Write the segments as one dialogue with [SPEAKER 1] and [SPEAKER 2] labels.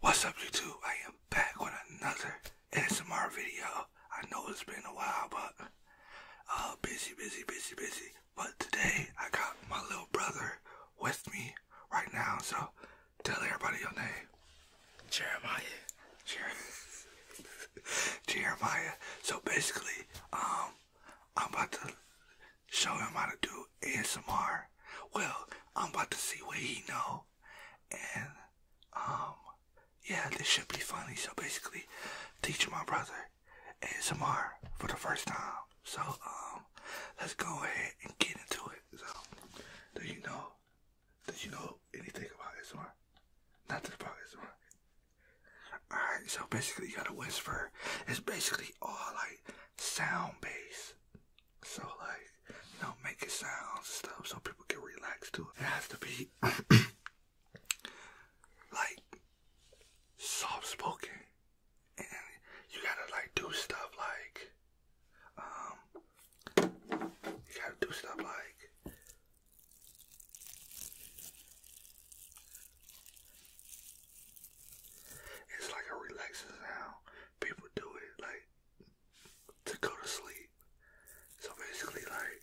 [SPEAKER 1] What's up YouTube? I am back with another ASMR video. I know it's been a while but uh busy busy busy busy but today I got my little brother with me right now. So tell everybody your name. Jeremiah. Jer- Jeremiah. So basically, um, I'm about to show him how to do ASMR. Well, I'm about to see what he know, and um, yeah, this should be funny. So basically, teaching my brother ASMR for the first time. So um, let's go ahead and get into it. So, do you know did you know anything about this ASMR? Nothing about ASMR. Alright, so basically you gotta whisper. It's basically all like sound base. So like, you know, making sounds and stuff so people can relax to it. It has to be like soft spoken. And you gotta like do stuff like um, you gotta do stuff like it's like a relaxing sound. People do it like to go to sleep. So basically, like.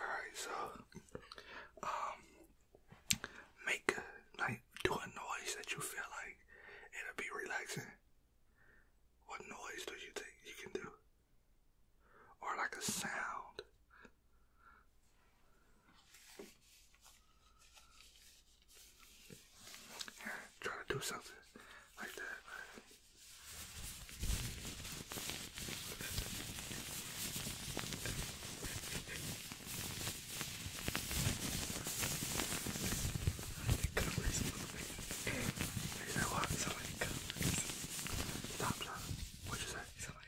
[SPEAKER 1] Alright, so um make like do a noise that you feel like it'll be relaxing. What noise do you think you can do? Or like a sound and try to do something like that. Right? It what? Stop, stop. what you say? It's not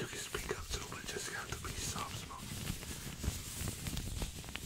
[SPEAKER 1] You can speak up too, but just have to be soft spoken.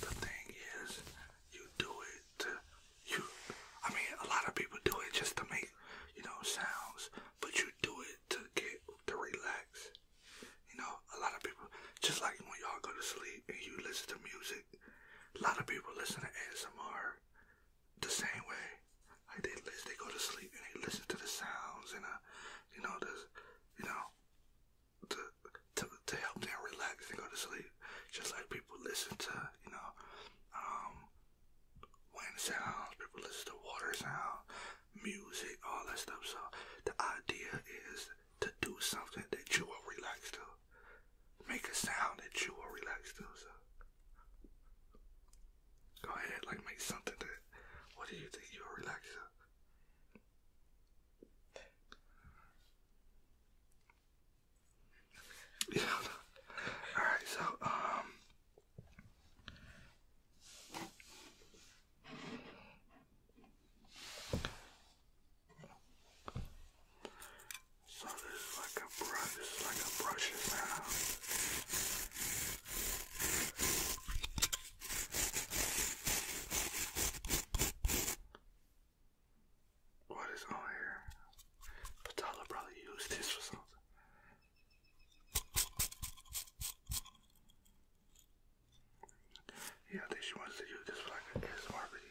[SPEAKER 1] the thing, is, you do it. You, I mean, a lot of people do it just to make, you know, sounds, but you do it to get to relax. You know, a lot of people, just like when y'all go to sleep and you listen to music, a lot of people listen to ASMR the same way. they they go to sleep and they listen to the sounds and uh, you know, the, you know, to to to help them relax and go to sleep. Just like people listen to, you know, um, wind sounds. People listen to water sounds music, all that stuff. So the idea is to do something that you will relax to. Make a sound that you will relax to. So go ahead, like make something that what do you think you will relax to? Yeah. All right. So um, so this is like a brush, like a brushing sound. What is on here? Patala probably used this for something. Yeah, I think she wants to do this for like a ASMR video.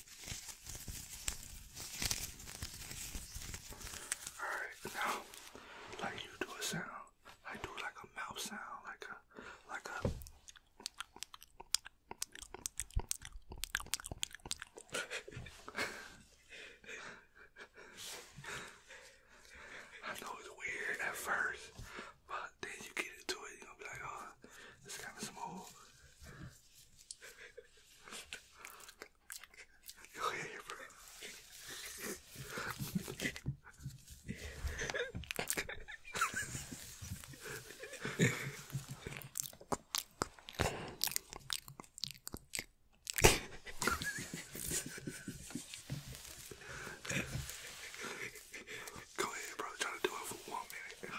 [SPEAKER 1] Alright, now like you do a sound, I do like a mouth sound, like a like a I know it's weird at first, but then you get into it, you're gonna be like, oh, it's kinda smooth. Jag är ju bra. Go ahead, bro. Try to do it for one minute.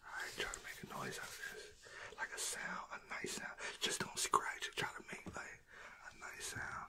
[SPEAKER 1] I try to make a noise out of this, like a sound, a nice sound. Just don't scratch. Try to make like a nice sound.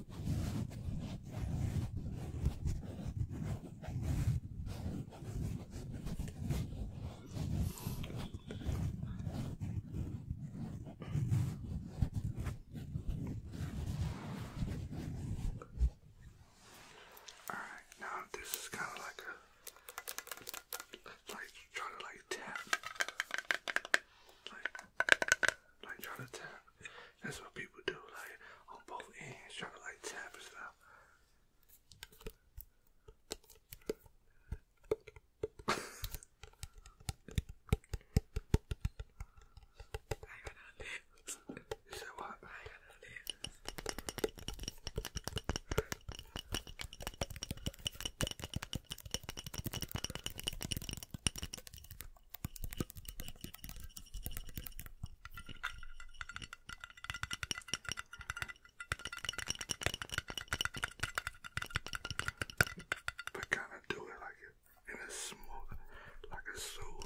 [SPEAKER 1] All right, now this is kind of like a like trying to like tap, like like trying to tap. That's what people do, like on both ends, try to like tap as well. I got no lips. You said what? I got no lips. But kind of do it like it in a smooth, like a soothing.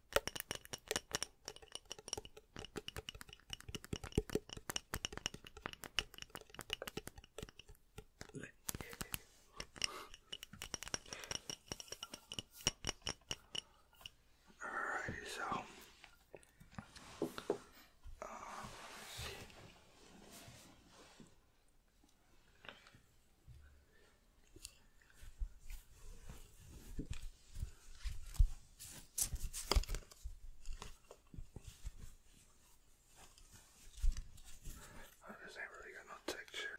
[SPEAKER 1] Alrighty, so uh, let's see. Oh, this ain't really got no texture.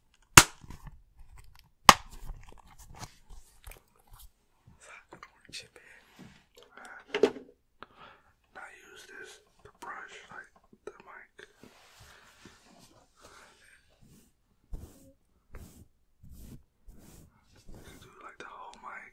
[SPEAKER 1] I orange chip in. use this the brush like the mic. You do like the whole mic.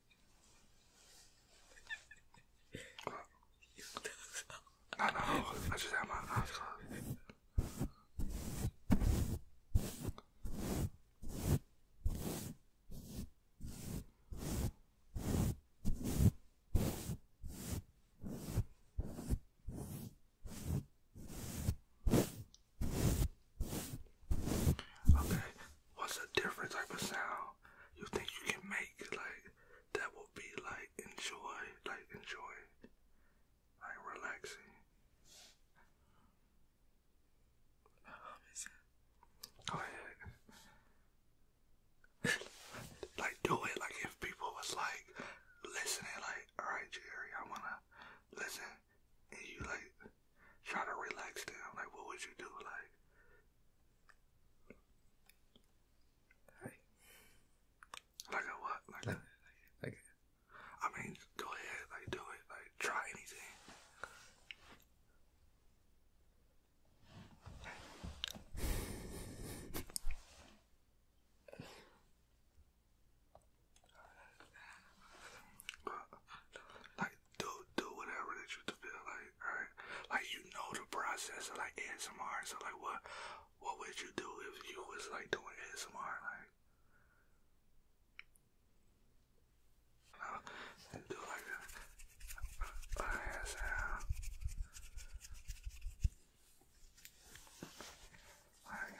[SPEAKER 1] No, know. I just have my eyes closed. Okay, what's a different type of sound you think you can make like that will be like enjoy like enjoy like relaxing go ahead like do it like if people was like listening like all right jerry i wanna listen and you like Try to relax down. Like, what would you do? Like, like a what? Like, like, like, I mean, go ahead. Like, do it. Like, try anything. Like like do do whatever that you feel like, right? Like you know the process of like ASMR. So like what what would you do if you was like doing ASMR like and do like a, a ASMR like, like,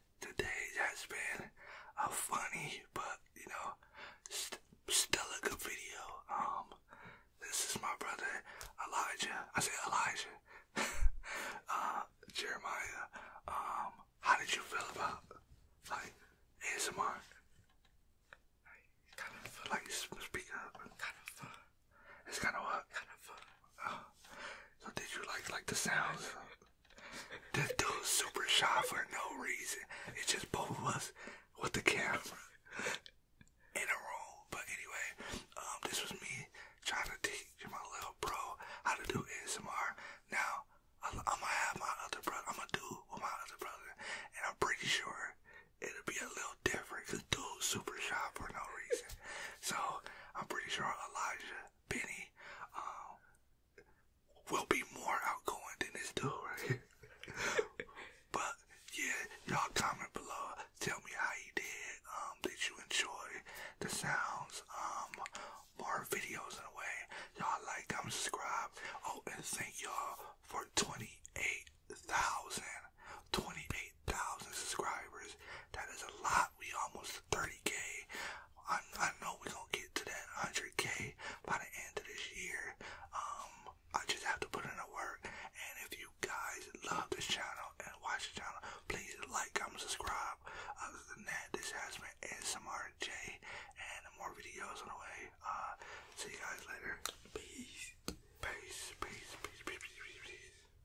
[SPEAKER 1] today has been a funny, but you know, still a good video. Um, this is my brother Elijah. I say Elijah. Uh, Jeremiah. Um, how did you feel about like ASMR? I kind of like speak up. Kind of fun. It's kind of what? Kind of fun. Uh, so did you like like the sounds? This dude super shy for no reason. It's just both of us with the camera in a room. But anyway, um, this was me trying to teach my little bro how to do ASMR. Now I'm gonna have my other brother. I'm gonna do with my other brother, and I'm pretty sure it'll be a little different. Cause dude super shy for no reason. So I'm pretty sure Elijah Benny um, will be more outgoing than this dude but yeah, y'all comment below. Tell me how you did. Um, did you enjoy the sounds? Um, more videos in a way. Y'all like, comment, subscribe. Oh, and thank y'all for 28,000. 28,000 subscribers. That is a lot. We almost 30k. I, I know we gonna get to that 100k by the end of this year. Um, I just have to put in the work. And if you guys love this channel and watch the channel, please like, comment, subscribe. Other than that, this has been SMRJ and more videos on the way. Uh, see you guys later. peace, peace, peace, peace, peace. peace.